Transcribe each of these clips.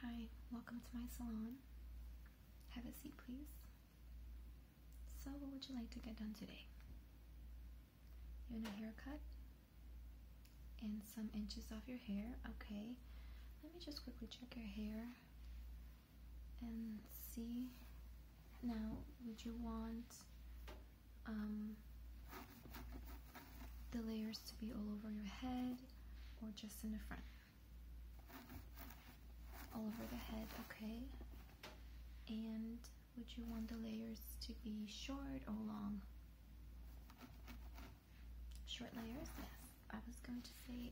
Hi, welcome to my salon. Have a seat, please. So, what would you like to get done today? You want a haircut and some inches off your hair? Okay, let me just quickly check your hair and see. Now, would you want um, the layers to be all over your head or just in the front. All over the head, okay. And would you want the layers to be short or long? Short layers, yes. I was going to say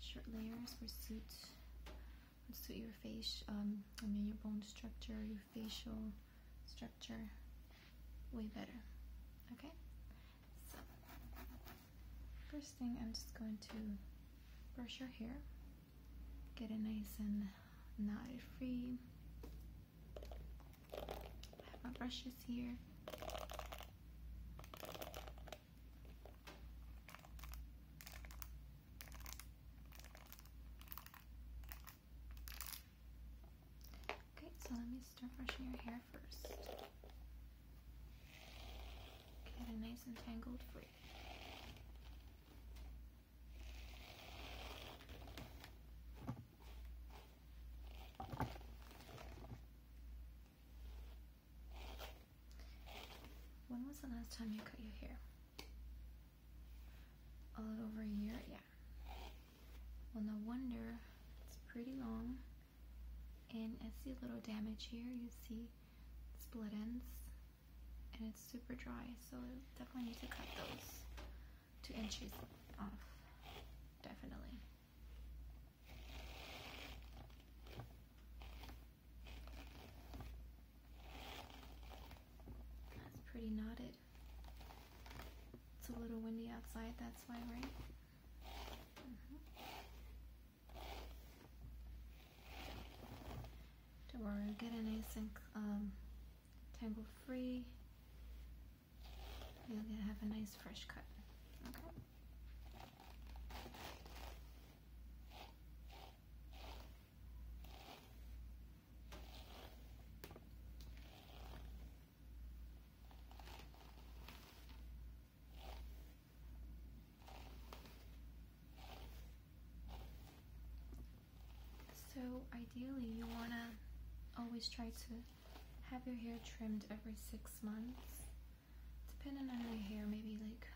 short layers would suit would suit your face, um, I mean your bone structure, your facial structure structure way better. Okay? So, first thing, I'm just going to brush your hair, get it nice and knotted free. I have my brushes here. Okay, so let me start brushing your hair first. Get it nice and tangled free. When was the last time you cut your hair? A little over a year? Yeah, well, no wonder it's pretty long. And I see a little damage here. You see split ends. And it's super dry, so I definitely need to cut those two inches off. Definitely. That's pretty knotted. It's a little windy outside, that's why, right? Don't mm-hmm. worry, get it nice um, tangle free. You'll get, have a nice fresh cut. Okay. So ideally you want to always try to have your hair trimmed every six months depending on your hair maybe like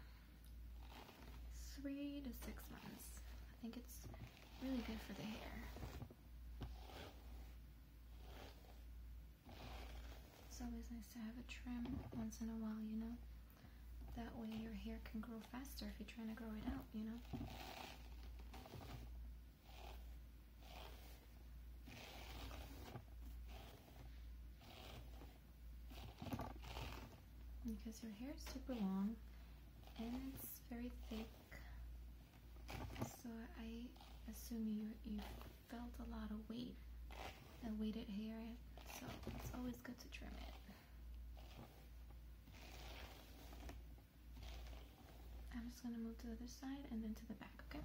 three to six months I think it's Really good for the hair. It's always nice to have a trim once in a while, you know? That way your hair can grow faster if you're trying to grow it out, you know? Because your hair is super long and it's very thick so I assume you you felt a lot of weight, and weighted hair, so it's always good to trim it. I'm just gonna move to the other side and then to the back, okay?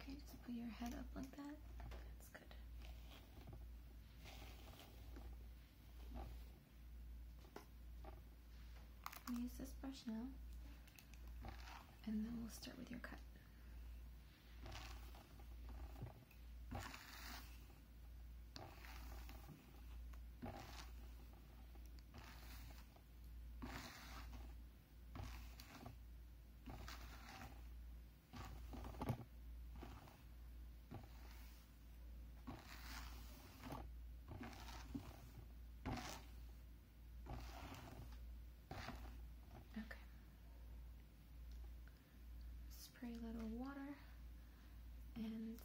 Okay, just put your head up like that. That's good. use this brush now, and then we'll start with your cut. Okay. Spray a little water and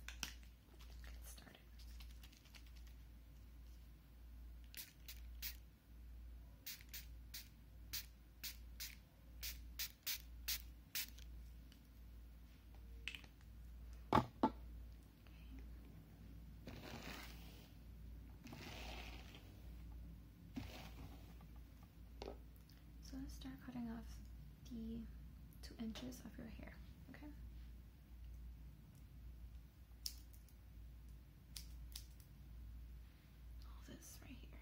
so let's start cutting off the two inches of your hair, Okay all this right here.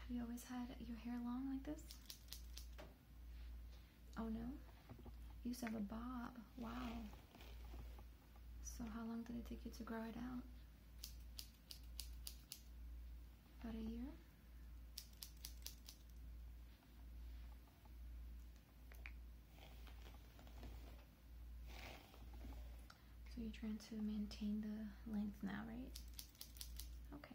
Have you always had your hair long like this? Oh no? You used to have a bob. Wow. So how long did it take you to grow it out? About a year? So you're trying to maintain the length now, right? Okay.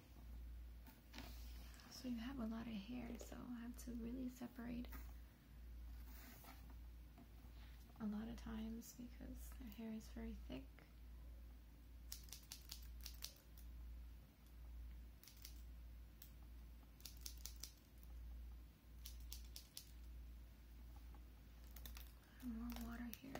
So you have a lot of hair, so I have to really separate a lot of times because their hair is very thick. More water here.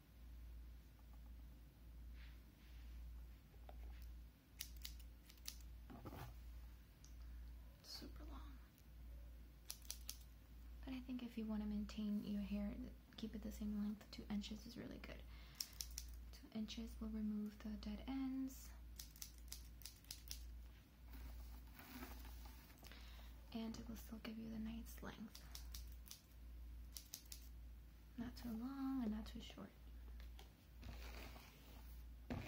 Super long. But I think if you want to maintain your hair, keep it the same length, two inches is really good. Two inches will remove the dead ends. And it will still give you the nice length. Not too long and not too short. Alright,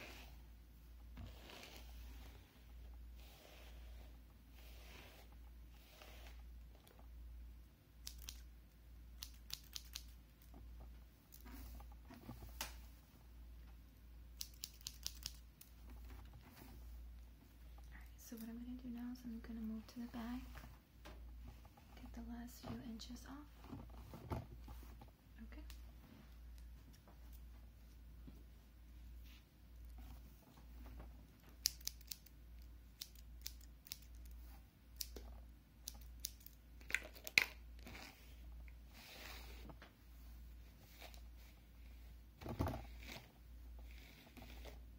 so what I'm going to do now is I'm going to move to the back. Get the last few inches off. Okay.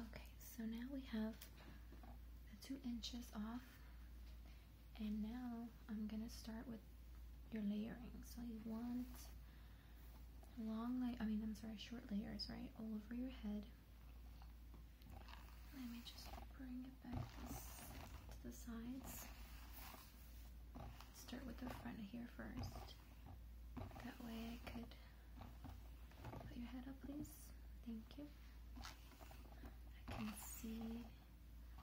Okay, so now we have the two inches off, and now I'm gonna start with your layering. So you want long lay I mean I'm sorry short layers right all over your head let me just bring it back to the sides start with the front here first that way I could put your head up please thank you I can see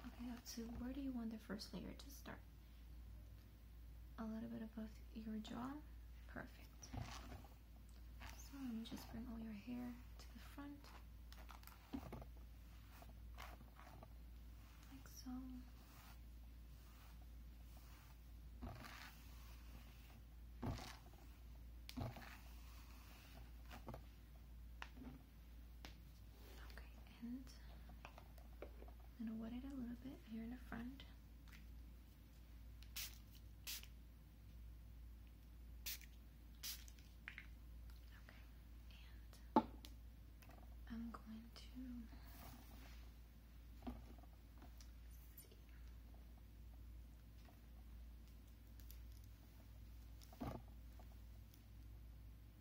okay to where do you want the first layer to start a little bit above your jaw. Perfect. So just bring all your hair to the front. Like so. Okay, and I'm gonna wet it a little bit here in the front. Okay, and I'm going to see. There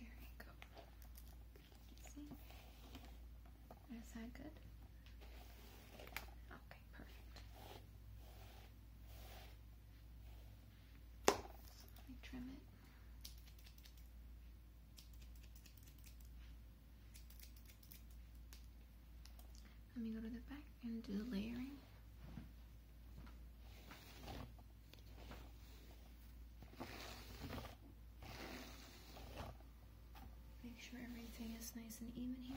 you go. See? Is that good? Okay, perfect. let me trim it. Let me go to the back and do the layering. Make sure everything is nice and even here.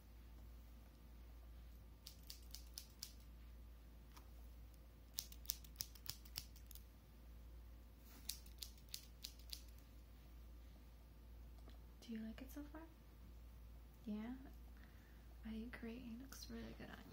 Do you like it so far? Yeah? I agree, it looks really good on you.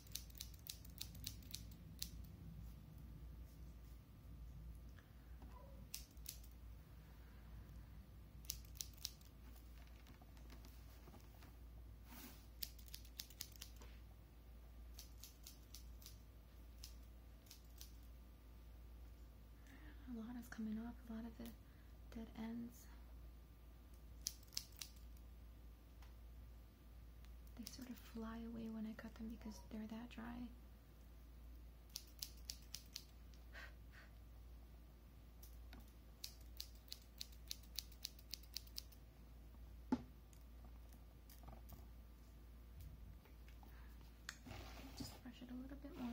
A lot is coming off, a lot of the dead ends. They sort of fly away when I cut them because they're that dry. Just brush it a little bit more.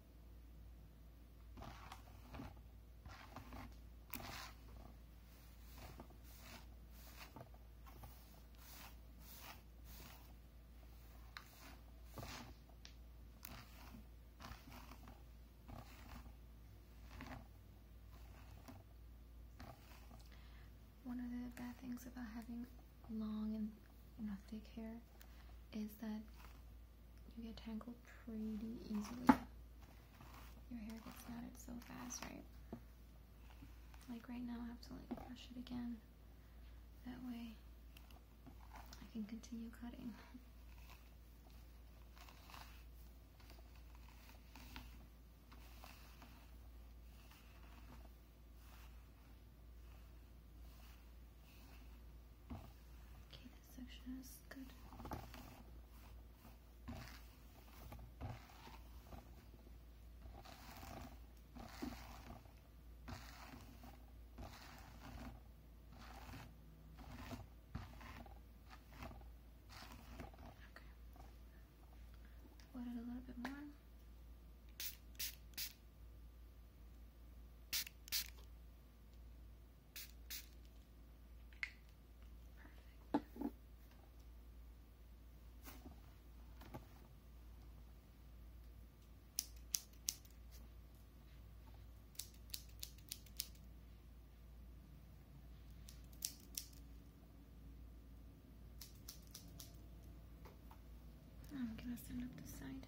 One of the bad things about having long and you thick hair is that you get tangled pretty easily. Your hair gets knotted so fast, right? Like right now, I have to like brush it again. That way, I can continue cutting. Okay, this section is good. Okay. Wet it a little bit more. I'm going to stand up the side.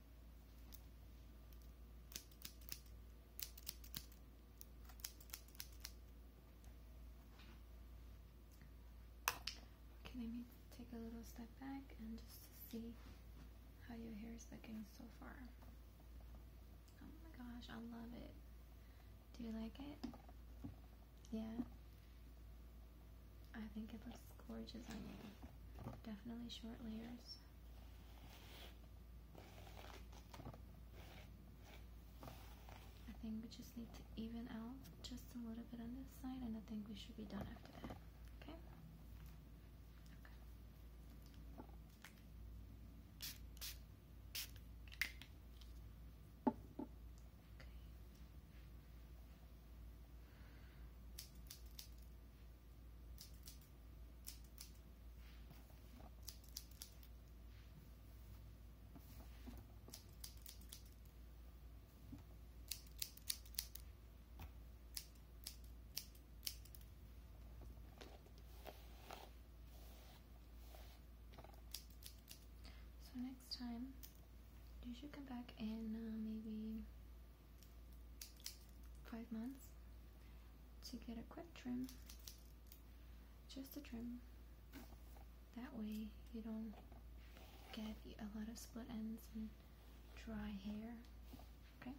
Okay, let take a little step back and just to see how your hair is looking so far. Oh my gosh, I love it. Do you like it? Yeah. I think it looks gorgeous on you. Definitely short layers. I think we just need to even out just a little bit on this side and I think we should be done after that. Okay? So next time you should come back and uh, maybe five months to get a quick trim just a trim that way you don't get a lot of split ends and dry hair okay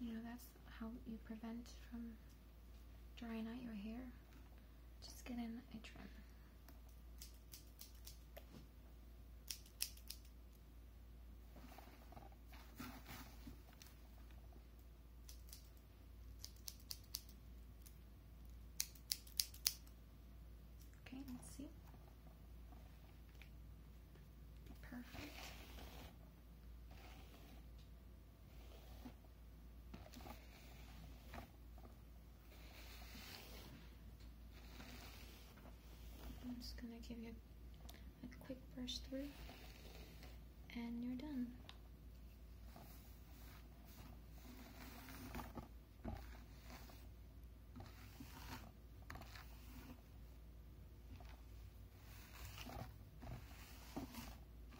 you know that's how you prevent from drying out your hair just get in a trim. Okay, let's see. Perfect. I'm just gonna give you a quick brush through and you're done.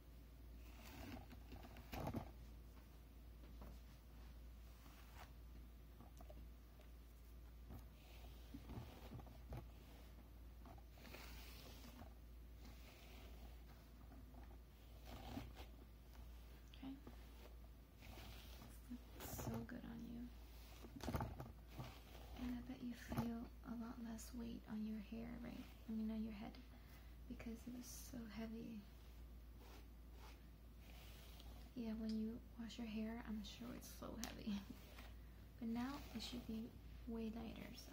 Okay. Looks so good on you. And I bet you feel a lot less weight on your hair, right? I mean, on your head because it was so heavy. Yeah, when you wash your hair, I'm sure it's so heavy. but now it should be way lighter, so.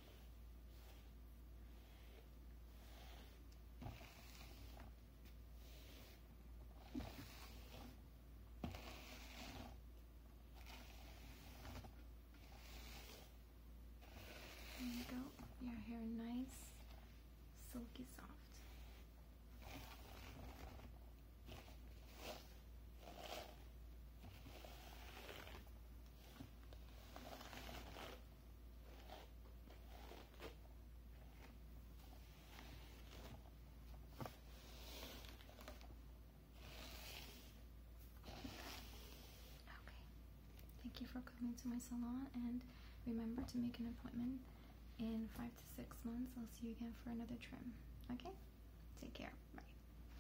There you go. Your hair nice, silky soft. Thank you for coming to my salon and remember to make an appointment in five to six months. I'll see you again for another trim. Okay? Take care. Bye.